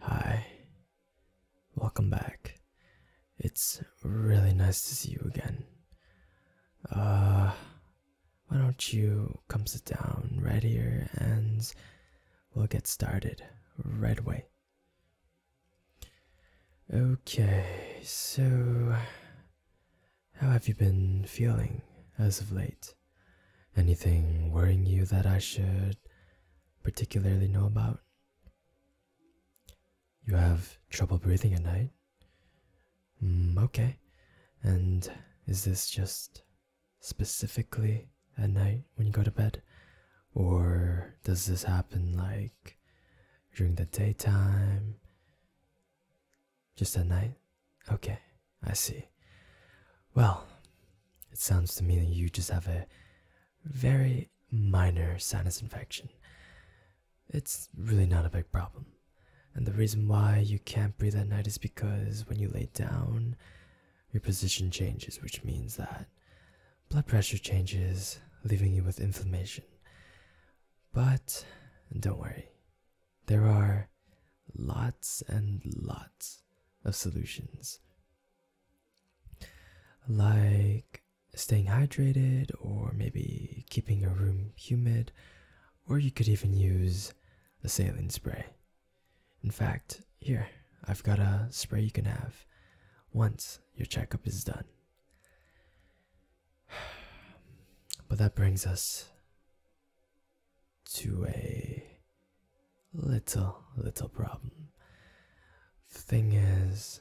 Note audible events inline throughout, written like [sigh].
Hi, welcome back. It's really nice to see you again. Uh, why don't you come sit down right here and we'll get started right away. Okay, so how have you been feeling as of late? Anything worrying you that I should particularly know about. You have trouble breathing at night? Hmm, okay. And is this just specifically at night when you go to bed? Or does this happen like during the daytime? Just at night? Okay, I see. Well, it sounds to me that you just have a very minor sinus infection. It's really not a big problem. And the reason why you can't breathe at night is because when you lay down, your position changes, which means that blood pressure changes, leaving you with inflammation. But don't worry, there are lots and lots of solutions like staying hydrated or maybe keeping your room humid or you could even use a saline spray in fact here i've got a spray you can have once your checkup is done [sighs] but that brings us to a little, little problem. The thing is,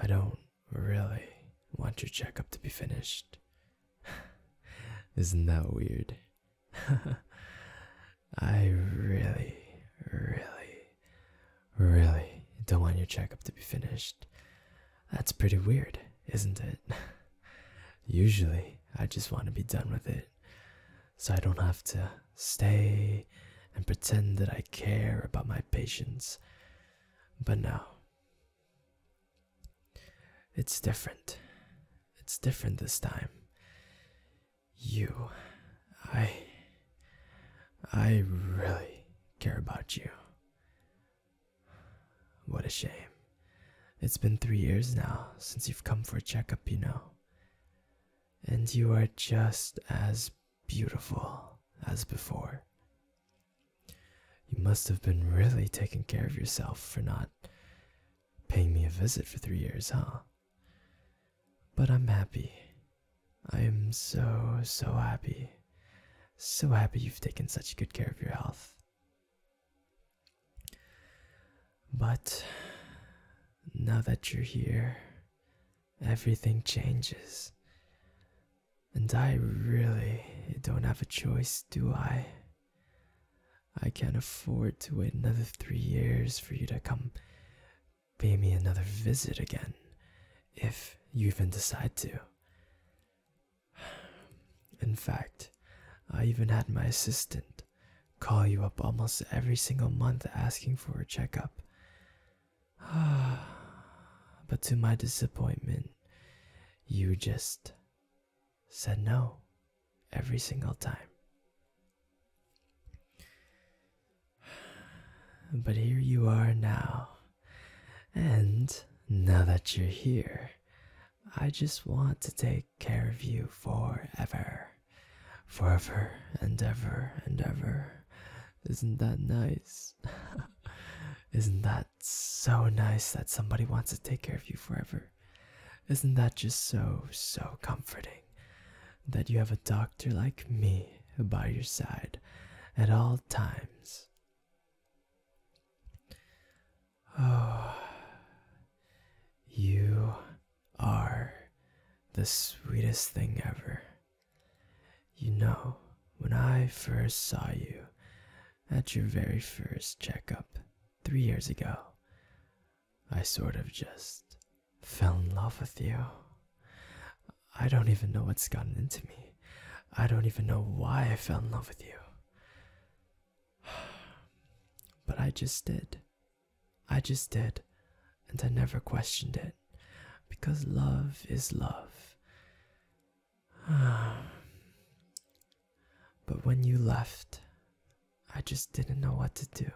I don't really want your checkup to be finished. [sighs] Isn't that weird? [laughs] I really, really, really don't want your checkup to be finished. That's pretty weird isn't it? [laughs] Usually, I just want to be done with it so I don't have to stay and pretend that I care about my patients. But now, it's different. It's different this time. You, I, I really care about you. What a shame. It's been three years now since you've come for a checkup, you know. And you are just as beautiful as before. You must have been really taking care of yourself for not paying me a visit for three years, huh? But I'm happy. I am so, so happy. So happy you've taken such good care of your health. But now that you're here, everything changes. And I really don't have a choice, do I? I can't afford to wait another three years for you to come pay me another visit again, if you even decide to. In fact, I even had my assistant call you up almost every single month asking for a checkup. [sighs] but to my disappointment, you just said no every single time. [sighs] But here you are now. And now that you're here, I just want to take care of you forever. Forever and ever and ever. Isn't that nice? [laughs] Isn't that so nice that somebody wants to take care of you forever? Isn't that just so, so comforting that you have a doctor like me by your side at all times? Oh, [sighs] you are the sweetest thing ever. You know, when I first saw you at your very first checkup three years ago, I sort of just fell in love with you. I don't even know what's gotten into me. I don't even know why I fell in love with you. [sighs] But I just did. I just did. And I never questioned it. Because love is love. [sighs] but when you left, I just didn't know what to do.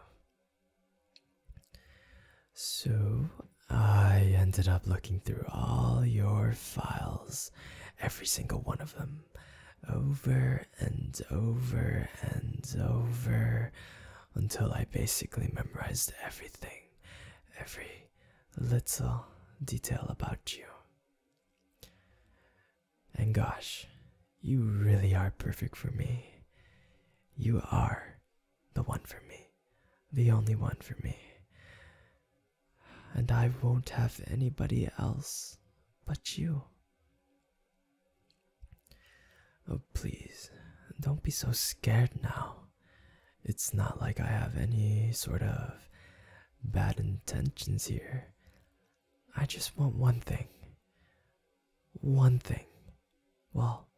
So I ended up looking through all your files every single one of them over and over and over until I basically memorized everything, every little detail about you. And gosh, you really are perfect for me. You are the one for me, the only one for me and I won't have anybody else but you. Oh, please, don't be so scared now. It's not like I have any sort of bad intentions here. I just want one thing. One thing. Well,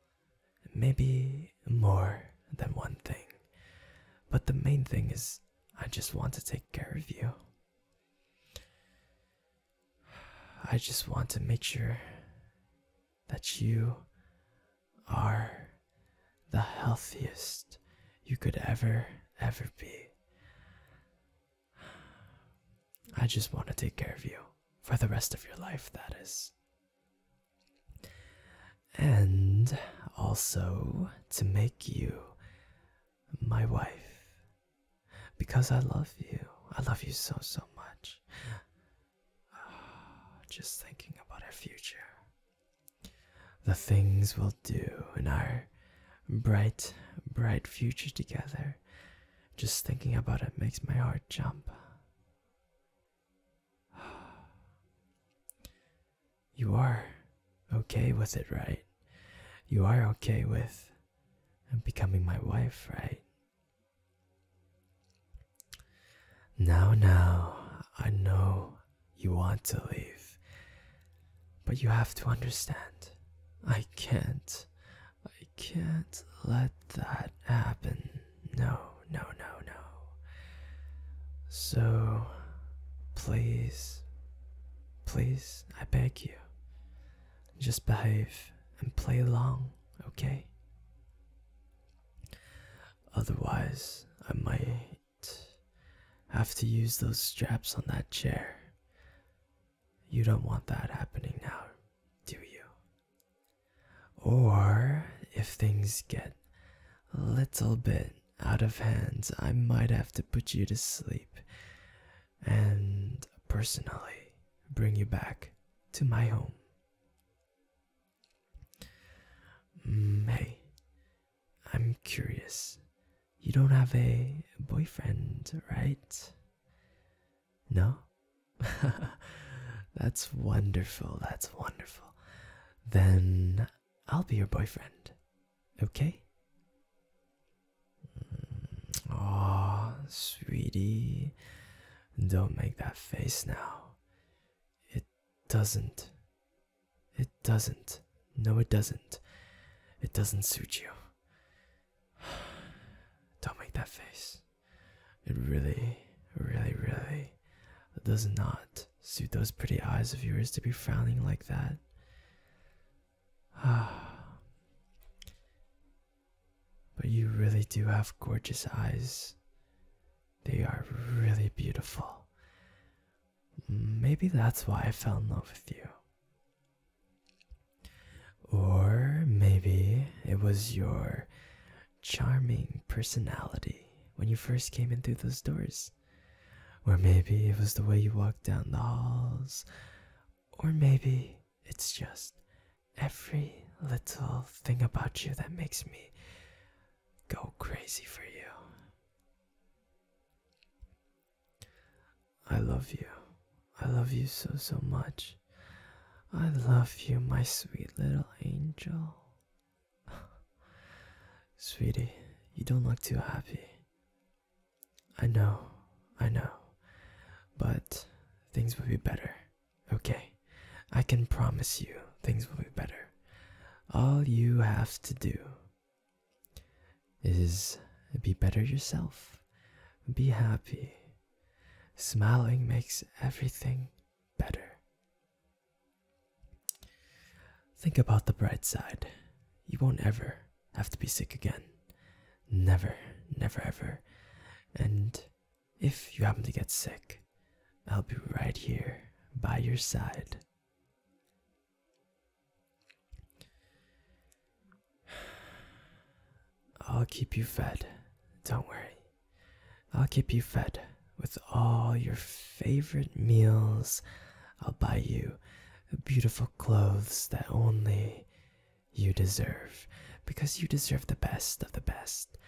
maybe more than one thing, but the main thing is I just want to take care of you. I just want to make sure that you are the healthiest you could ever, ever be. I just want to take care of you for the rest of your life, that is and also to make you my wife because I love you. I love you so, so much. [sighs] just thinking about our future, the things we'll do in our bright, bright future together. Just thinking about it makes my heart jump. You are okay with it, right? You are okay with becoming my wife, right? Now, now, I know you want to leave, but you have to understand. I can't, I can't let that happen. No, no, no, no. So, please, please, I beg you, just behave and play along, okay? Otherwise, I might have to use those straps on that chair. You don't want that happening now, do you? Or if things get a little bit out of hand, I might have to put you to sleep and personally bring you back to my home. Mm, hey, I'm curious. You don't have a boyfriend, right? No? [laughs] That's wonderful. That's wonderful. Then I'll be your boyfriend. Okay? Oh, sweetie. Don't make that face now. It doesn't. It doesn't. No, it doesn't. It doesn't suit you. [sighs] Don't make that face. It really, really, really does not suit those pretty eyes of yours to be frowning like that. Ah. [sighs] But you really do have gorgeous eyes. They are really beautiful. Maybe that's why I fell in love with you. Or maybe it was your charming personality when you first came in through those doors. Or maybe it was the way you walked down the halls. Or maybe it's just every little thing about you that makes me go crazy for you. I love you. I love you so, so much. I love you, my sweet little angel. [laughs] Sweetie, you don't look too happy. I know, I know. But things will be better. Okay, I can promise you things will be better. All you have to do is be better yourself, be happy. Smiling makes everything better. Think about the bright side. You won't ever have to be sick again. Never, never, ever. And if you happen to get sick, I'll be right here by your side. I'll keep you fed. Don't worry. I'll keep you fed with all your favorite meals. I'll buy you beautiful clothes that only you deserve because you deserve the best of the best,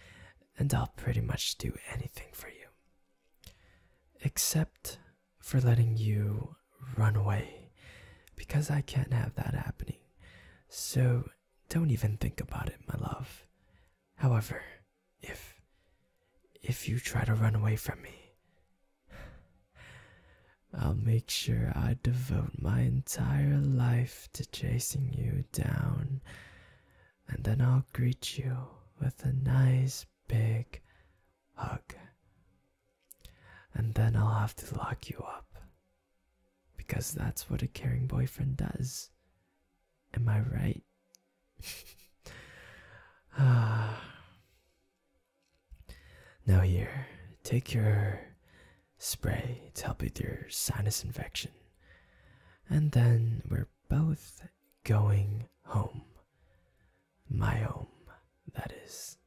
and I'll pretty much do anything for you. Except for letting you run away because I can't have that happening. So don't even think about it, my love. However, if if you try to run away from me, I'll make sure I devote my entire life to chasing you down, and then I'll greet you with a nice big hug. And then I'll have to lock you up because that's what a caring boyfriend does. Am I right? [sighs] now, here, take your spray to help with your sinus infection. And then we're both going home. My home, that is.